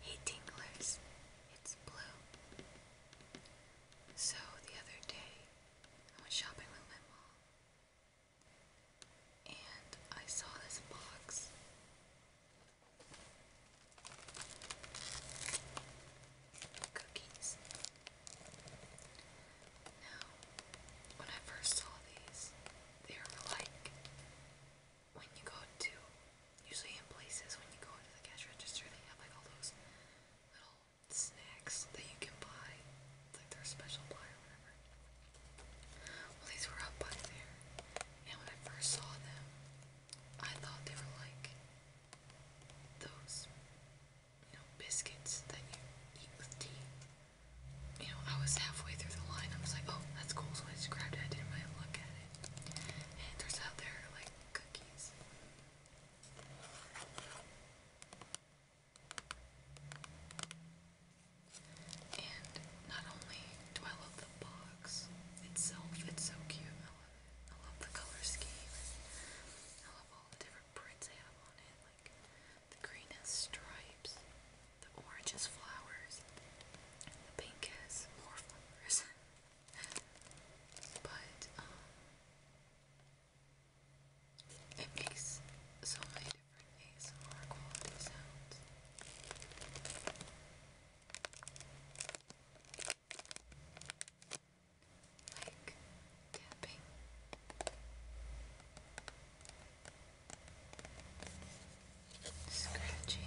Hey Tinklers, it's Blue. So the other day, I was shopping with my mom, and I saw this box. Cookies. Now, when I first saw these, they were like when you go to, usually in places when you go into the cash register, they have like all those little snacks that you can buy. It's like their special buy or whatever. Well, these were up by there, and when I first saw them, I thought they were like those, you know, biscuits that you eat with tea. You know, I was halfway through the line, I was like, oh, that's cool, so I just grabbed it, I didn't really look. And it out they like cookies. And not only do I love the box itself, it's so cute. I love the color scheme. I love all the different prints they have on it, like the green stripes. The orange is flowers. The pink is more flowers. but um, it makes so many different ASMR quality Like tapping scratching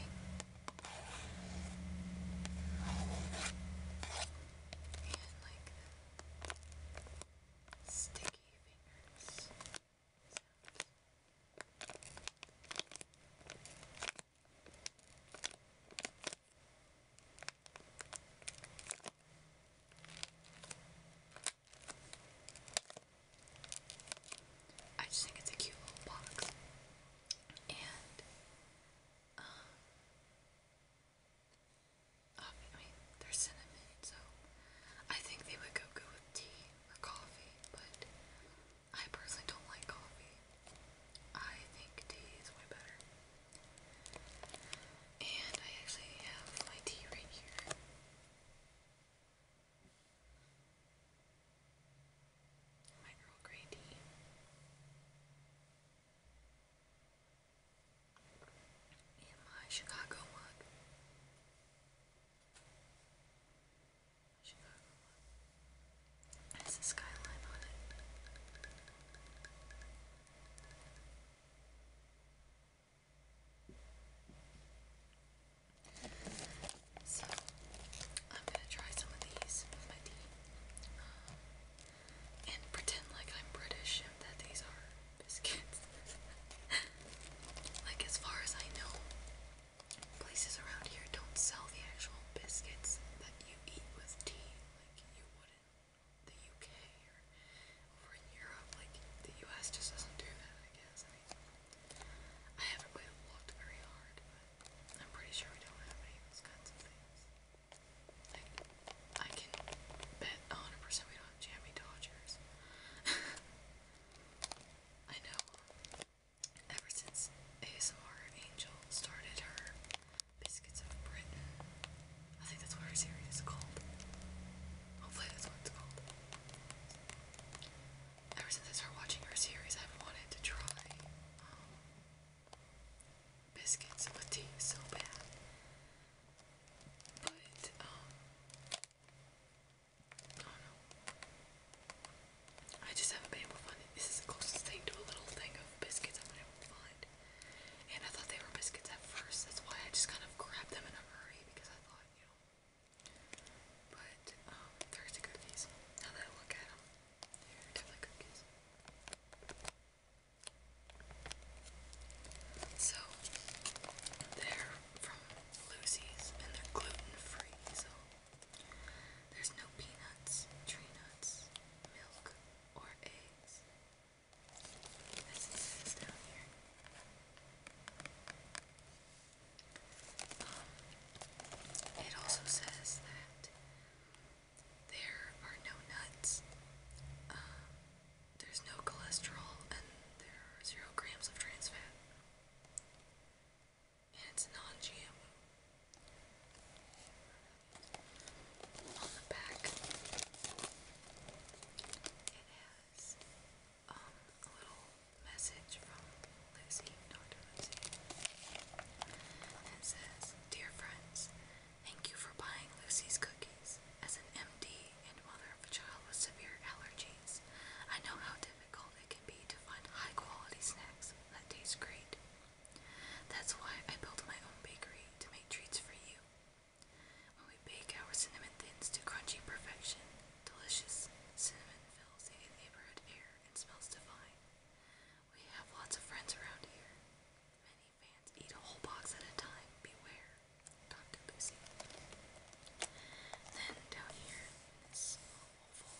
and like sticky fingers. Sounds. I just think it's a cute little box. And, um, oh, I mean, they're cinnamon, so I think they would go good with tea or coffee, but I personally don't like coffee. I think tea is way better. And I actually have my tea right here. My Earl Grey tea. And my Chicago mug. Chicago mug. Has a skyline on it. So, I'm gonna try some of these with my tea um, and pretend like I'm British and that these are biscuits. like, as far as I know, places around here don't sell the actual biscuits that you eat with tea like you would in the UK or over in Europe. Like, the US just doesn't do that, I guess. I haven't really looked very hard, but I'm pretty sure we don't have any of those kinds of things. I, I can bet 100% we don't have jammy Dodgers. I know. Ever since ASMR Angel started her Biscuits of Britain, I think that's what her series is called. Hopefully, that's what it's called ever since I started watching her series, I've wanted to try um, biscuits with tea so bad. But, um, I just haven't been able to This is the closest thing to a little thing of biscuits I've been able And I thought they were biscuits at first, that's why I just kind of grabbed them in a hurry because I thought, you know, but, um, cookies. Now that I look at them, they cookies. So, they're from Lucy's and they're gluten free, so there's no peanuts, tree nuts, milk, or eggs. Um, it also says that there are no nuts, um, there's no cholesterol, and there are zero grams of trans fat. And it's non GMO. On the back, it has um, a little message from Lucy, Dr. Lucy. It says, Dear friends, thank you for buying Lucy's cookies. As an MD and mother of a child with severe allergies, I know how difficult it can be to find high quality snacks that taste great. That's why I built my own bakery to make treats for you. When we bake our cinnamon thins to crunchy perfection, delicious cinnamon fills the neighborhood air and smells divine. We have lots of friends around here. Many fans eat a whole box at a time. Beware, Dr. Lucy. Then down here in this oval,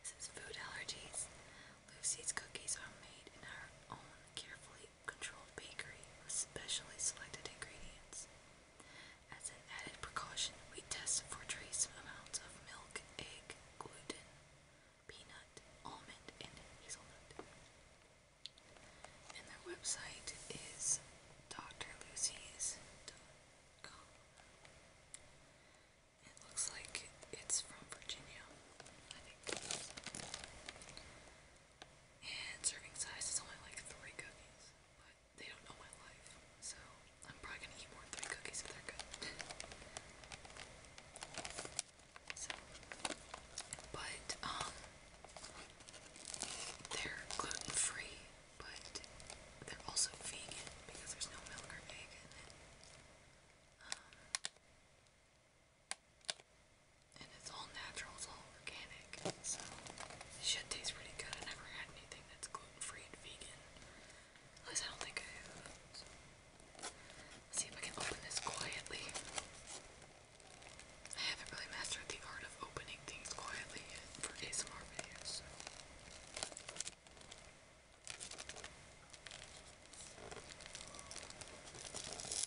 this is food allergies. Lucy's cookies are made in our own carefully controlled bakery with specially selected ingredients. As an added precaution, we test for trace amounts of milk, egg, gluten, peanut, almond, and hazelnut. And their website is drlucy's.com. It looks like it's from Virginia, I think and serving size is only like three cookies, but they don't know my life, so I'm probably gonna eat more than three cookies if they're good. so, but um, they're gluten free, but they're also vegan because there's no milk or egg in it. Um, and it's all natural, it's all organic, so shit tastes pretty good. I never had anything that's gluten-free and vegan. At I don't think I have. see if I can open this quietly. I haven't really mastered the art of opening things quietly for ASMR videos.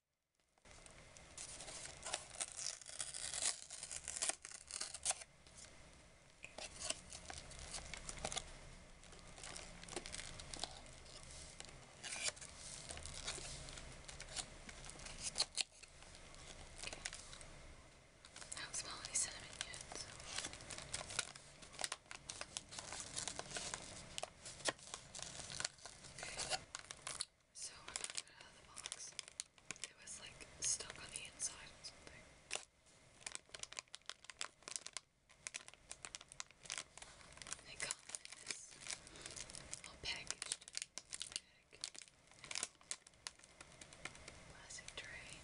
I haven't smelled any cinnamon yet, so. Okay. So I got it out of the box. It was like stuck on the inside or something. They come in this little packaged Plastic tray.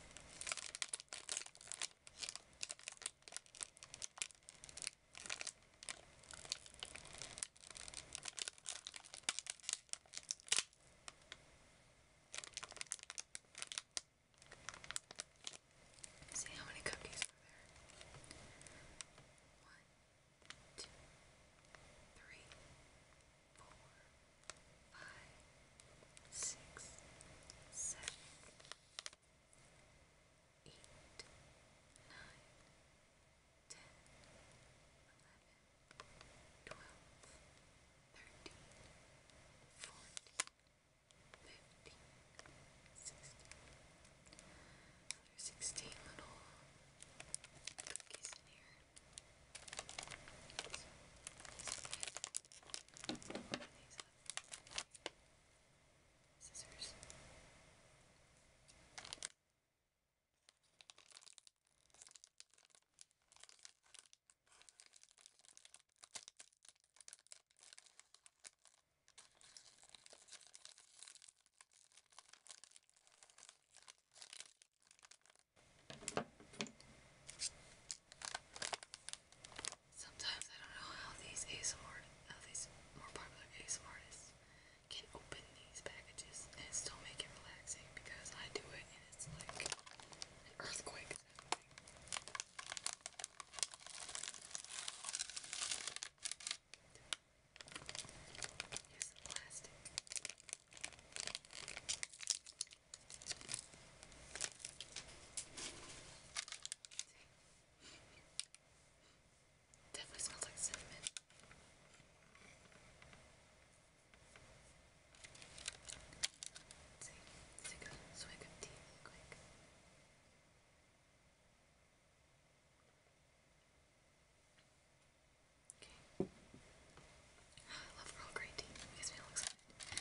See how many cookies are there? One, two, three, four, five, six, seven, eight, nine, ten, eleven, twelve, thirteen, fourteen, fifteen, sixteen. Another sixteen little cookies in here. So, these up. Scissors. Sometimes I don't know how these ASMR, how these more popular ASMR can open these packages and still make it relaxing because I do it and it's like an earthquake is plastic. Definitely smells like cinnamon. see, let's take tea quick. Okay. Ah, I love Earl Grey tea. It makes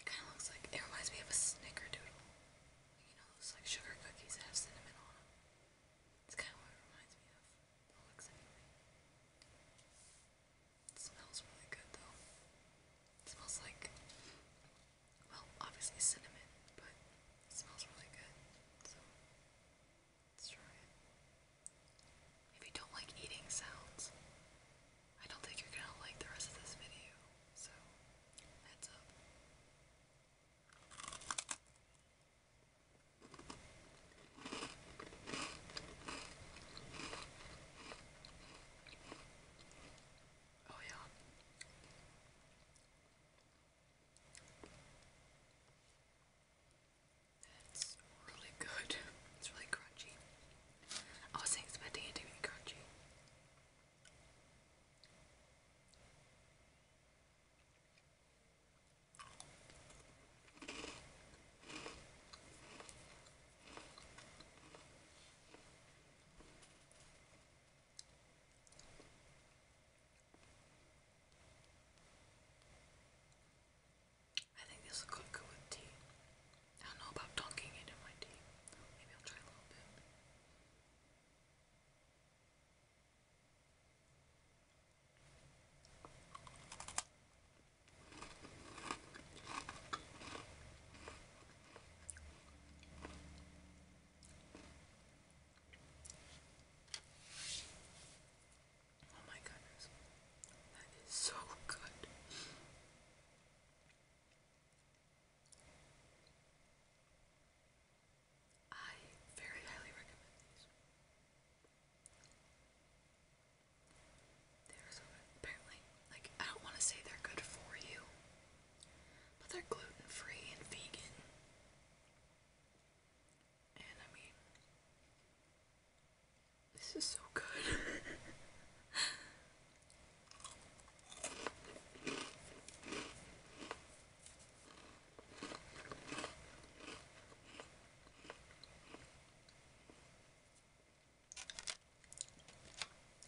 It kind of looks like, it reminds me of a snickerdoodle. You know those like sugar cookies that have cinnamon on them? It's kind of what it reminds me of. It looks anyway. It smells really good though. It smells like, well, obviously cinnamon, but smells really good. So, if you don't like eating sounds, I don't think you're gonna like the rest of this video, so heads up. Oh, yeah. That's really good. It's really crunchy. I was expecting it to be crunchy. I think this will cook good with tea. I don't know about dunking it in my tea. Maybe I'll try a little bit. Oh my goodness. That is so good. I very highly recommend these. They're Apparently, like, I don't want to say they're good for you, but they're gluten free and vegan. And I mean, this is so good.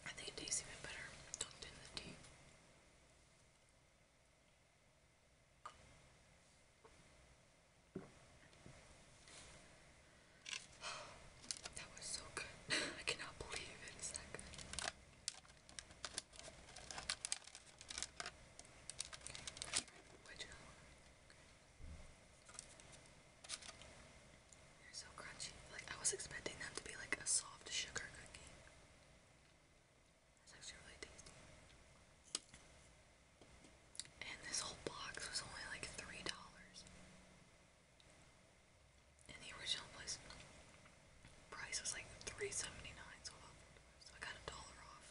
I think it tastes even better dunked in the tea. That was so good. I cannot believe it is that good. They're so crunchy. Like I was expecting them to be like a soft sugar cookie. That's actually really tasty. And this whole box was only like $3 and the original price was like 3 so I got a dollar off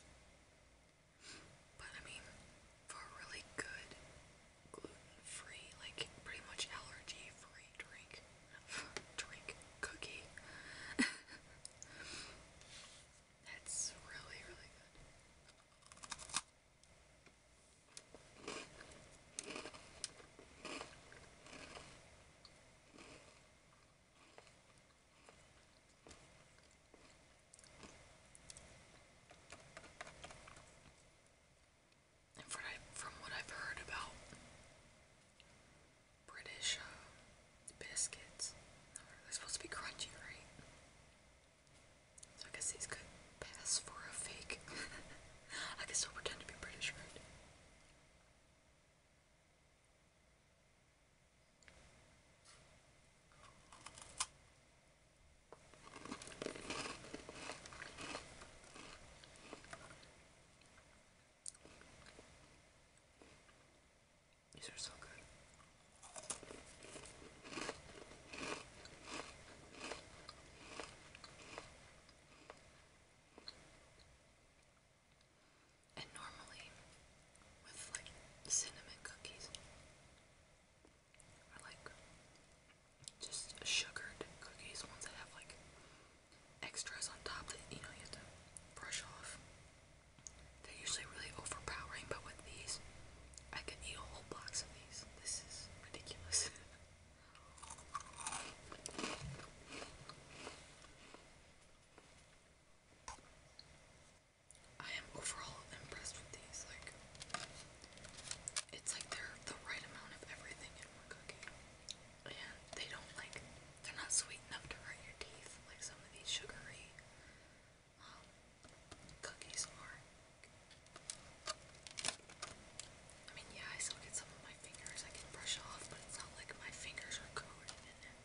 but I mean for a really good gluten-free like pretty much allergy free drink drink cookie That's really, really good. from what I've heard about British uh, biscuits. They're supposed to be crunchy, right? So I guess these could pass for a fake. I can still pretend to be British, these are so good. And normally, with like cinnamon cookies, or like just sugared cookies, ones that have like extras on top that you know you have to brush off. They're usually really overpowering, but with these, I can eat a whole box of these. This is ridiculous. I am overall impressed with these. Like, it's like they're the right amount of everything in one cookie. And they don't like, they're not sweet enough to hurt your teeth like some of these sugary cookies are. I mean, yeah, I still get some of my fingers I can brush off, but it's not like my fingers are coated in it.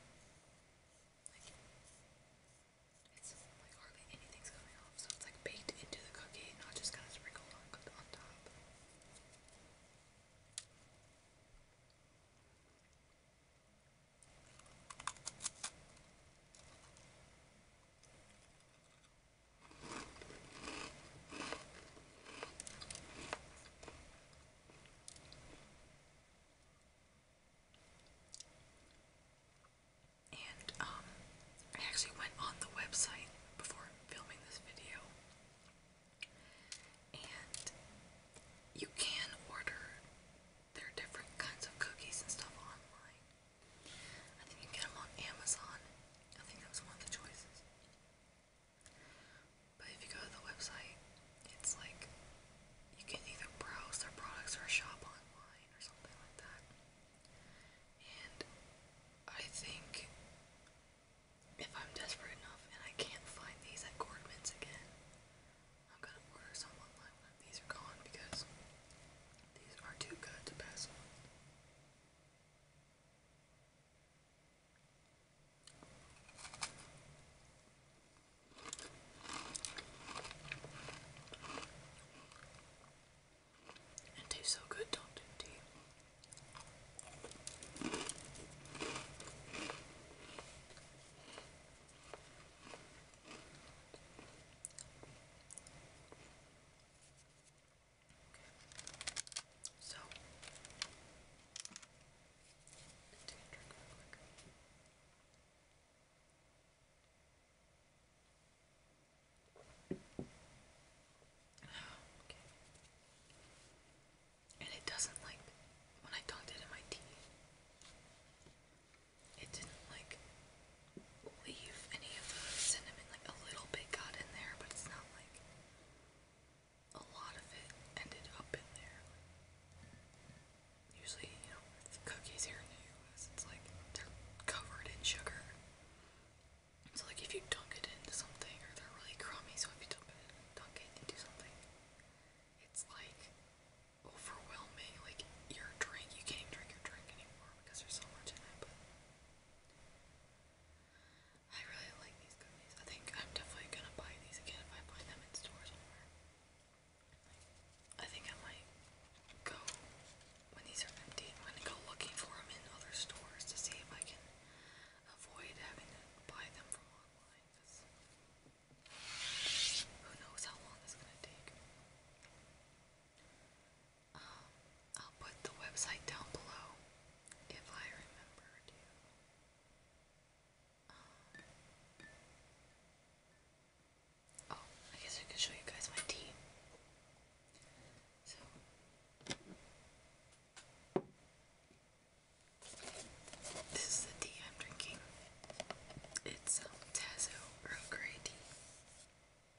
like hardly anything's coming off, so it's like baked into the cookie, not just kind of sprinkled on, on top. And um, I actually went on the website before filming this video and you can order their different kinds of cookies and stuff online. I think you can get them on Amazon. I think that was one of the choices. But if you go to the website, it's like you can either browse their products or shop online or something like that. And I think if I'm desperate enough and I can't find these at Gordman's again, I'm gonna order some online when these are gone because these are too good to pass on. It tastes so good, don't it, do Okay. So take a drink real quick. Okay and it doesn't like when I dunked it in my tea. It didn't like leave any of the cinnamon. Like a little bit got in there, but it's not like a lot of it ended up in there. Usually, you know, with cookies here in the U.S., it's like they're covered in sugar. So like if you dunk it into something, or they're really crummy, so if you dunk it into something, it's like overwhelming. Like your drink, you can't drink your drink anymore because there's so much in it. I really like these gummies. I think I'm definitely gonna buy these again if I find them in stores somewhere. I think I might go when these are empty. I'm gonna go looking for them in other stores to see if I can avoid having to buy them from online. Who knows how long this is gonna take? Um, I'll put the website down below if I remember um, oh, I guess I can show you guys my tea. So. This is the tea I'm drinking. It's um, Tazo Earl Grey tea.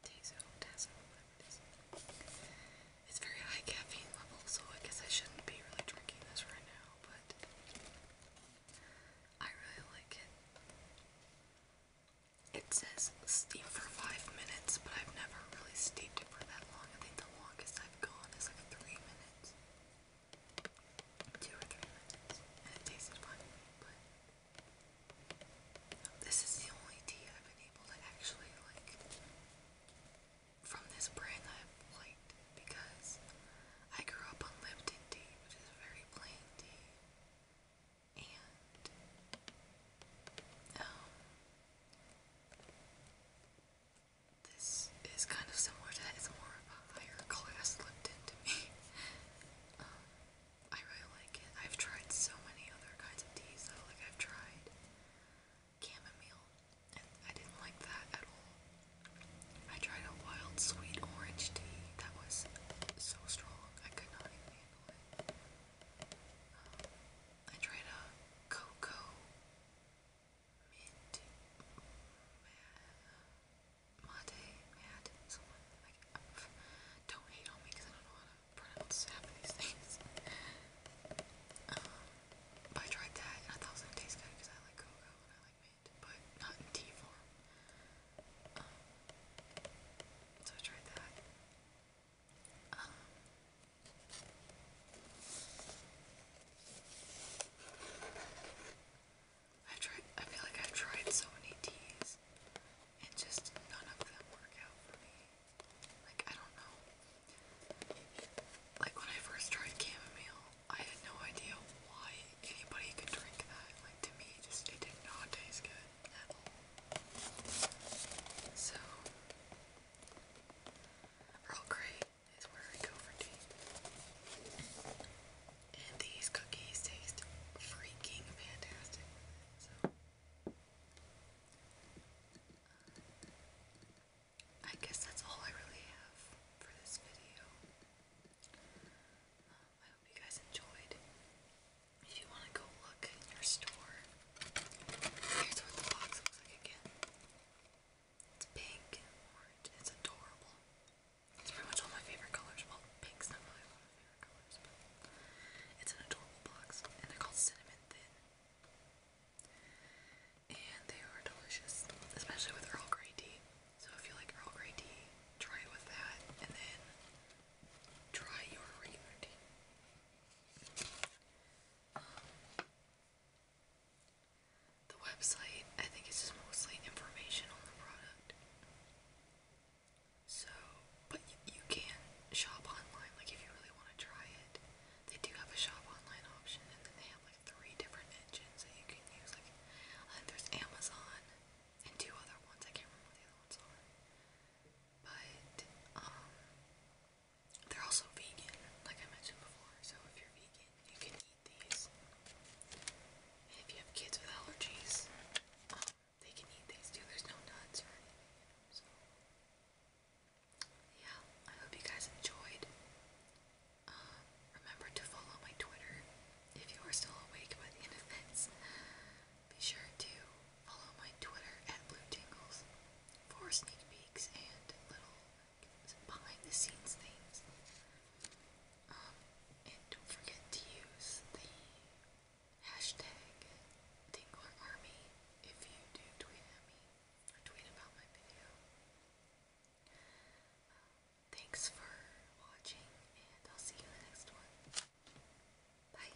Tazo, Tazo, whatever it is. It's very high caffeine level, so I guess I shouldn't be really drinking this right now, but I really like it. It says steep for five minutes, but I've never really steeped it for that long. I think the longest I've gone is like three minutes two or three lemons, and it tasted funny, but this is the only tea I've been able to actually like from this brand I've liked because I grew up on Lipton tea, which is very plain tea. And um this is kind of similar to It's more of a higher class looked into me. Um, I really like it. I've tried so many other kinds of teas though. Like I've tried chamomile, and I didn't like that at all. I tried a wild sweet orange tea that was so strong I could not even handle it. Um, I tried a cocoa mint mate don't hate on me because I don't know how to pronounce half of these things. but I tried that and I thought it was gonna taste good because I like cocoa and I like mint, but not in tea form. Um, so I tried that. Um, i tried, I feel like I've tried so many teas and just none of them work out for me. Like, I don't know. Like, when I first tried chamomile, I had no idea why anybody could drink that. Like, to me, just it did not taste good So, Earl Grey is where I go for tea. And these cookies taste freaking fantastic. So, uh, I guess that's all I really have for this video. Um, I hope you guys enjoyed. If you want to go look in your store, here's what the box looks like again. It's pink and orange. It's adorable. It's pretty much all my favorite colors. Well, pink's not my favorite colors, but it's an adorable box. And they're called Cinnamon Thin. And they are delicious, especially with Earl Grey tea. So if you like Earl Grey tea, try it with that, and then try your regular tea. Um, the website, I think, is just mostly information on the product. So, but you, can shop online, like if you really want to try it. They do have a shop online option, and then they have like three different engines that you can use. Like, I uh, there's Amazon and two other ones. I can't remember what the other ones are. But, um, they're also vegan, like I mentioned before, so if you're vegan, you can eat these. And if you have kids with allergies, um, they can eat these too. There's no nuts or anything so. Yeah, I hope you guys enjoyed. Um, remember to follow my Twitter if you are still awake by the end of Be sure to follow my Twitter at Blue Tingles for sneak peeks and little behind the scenes things. Um, and don't forget to use the hashtag DinglerArmy if you do tweet at me or tweet about my video. Um, thanks for watching, and I'll see you in the next one. Bye.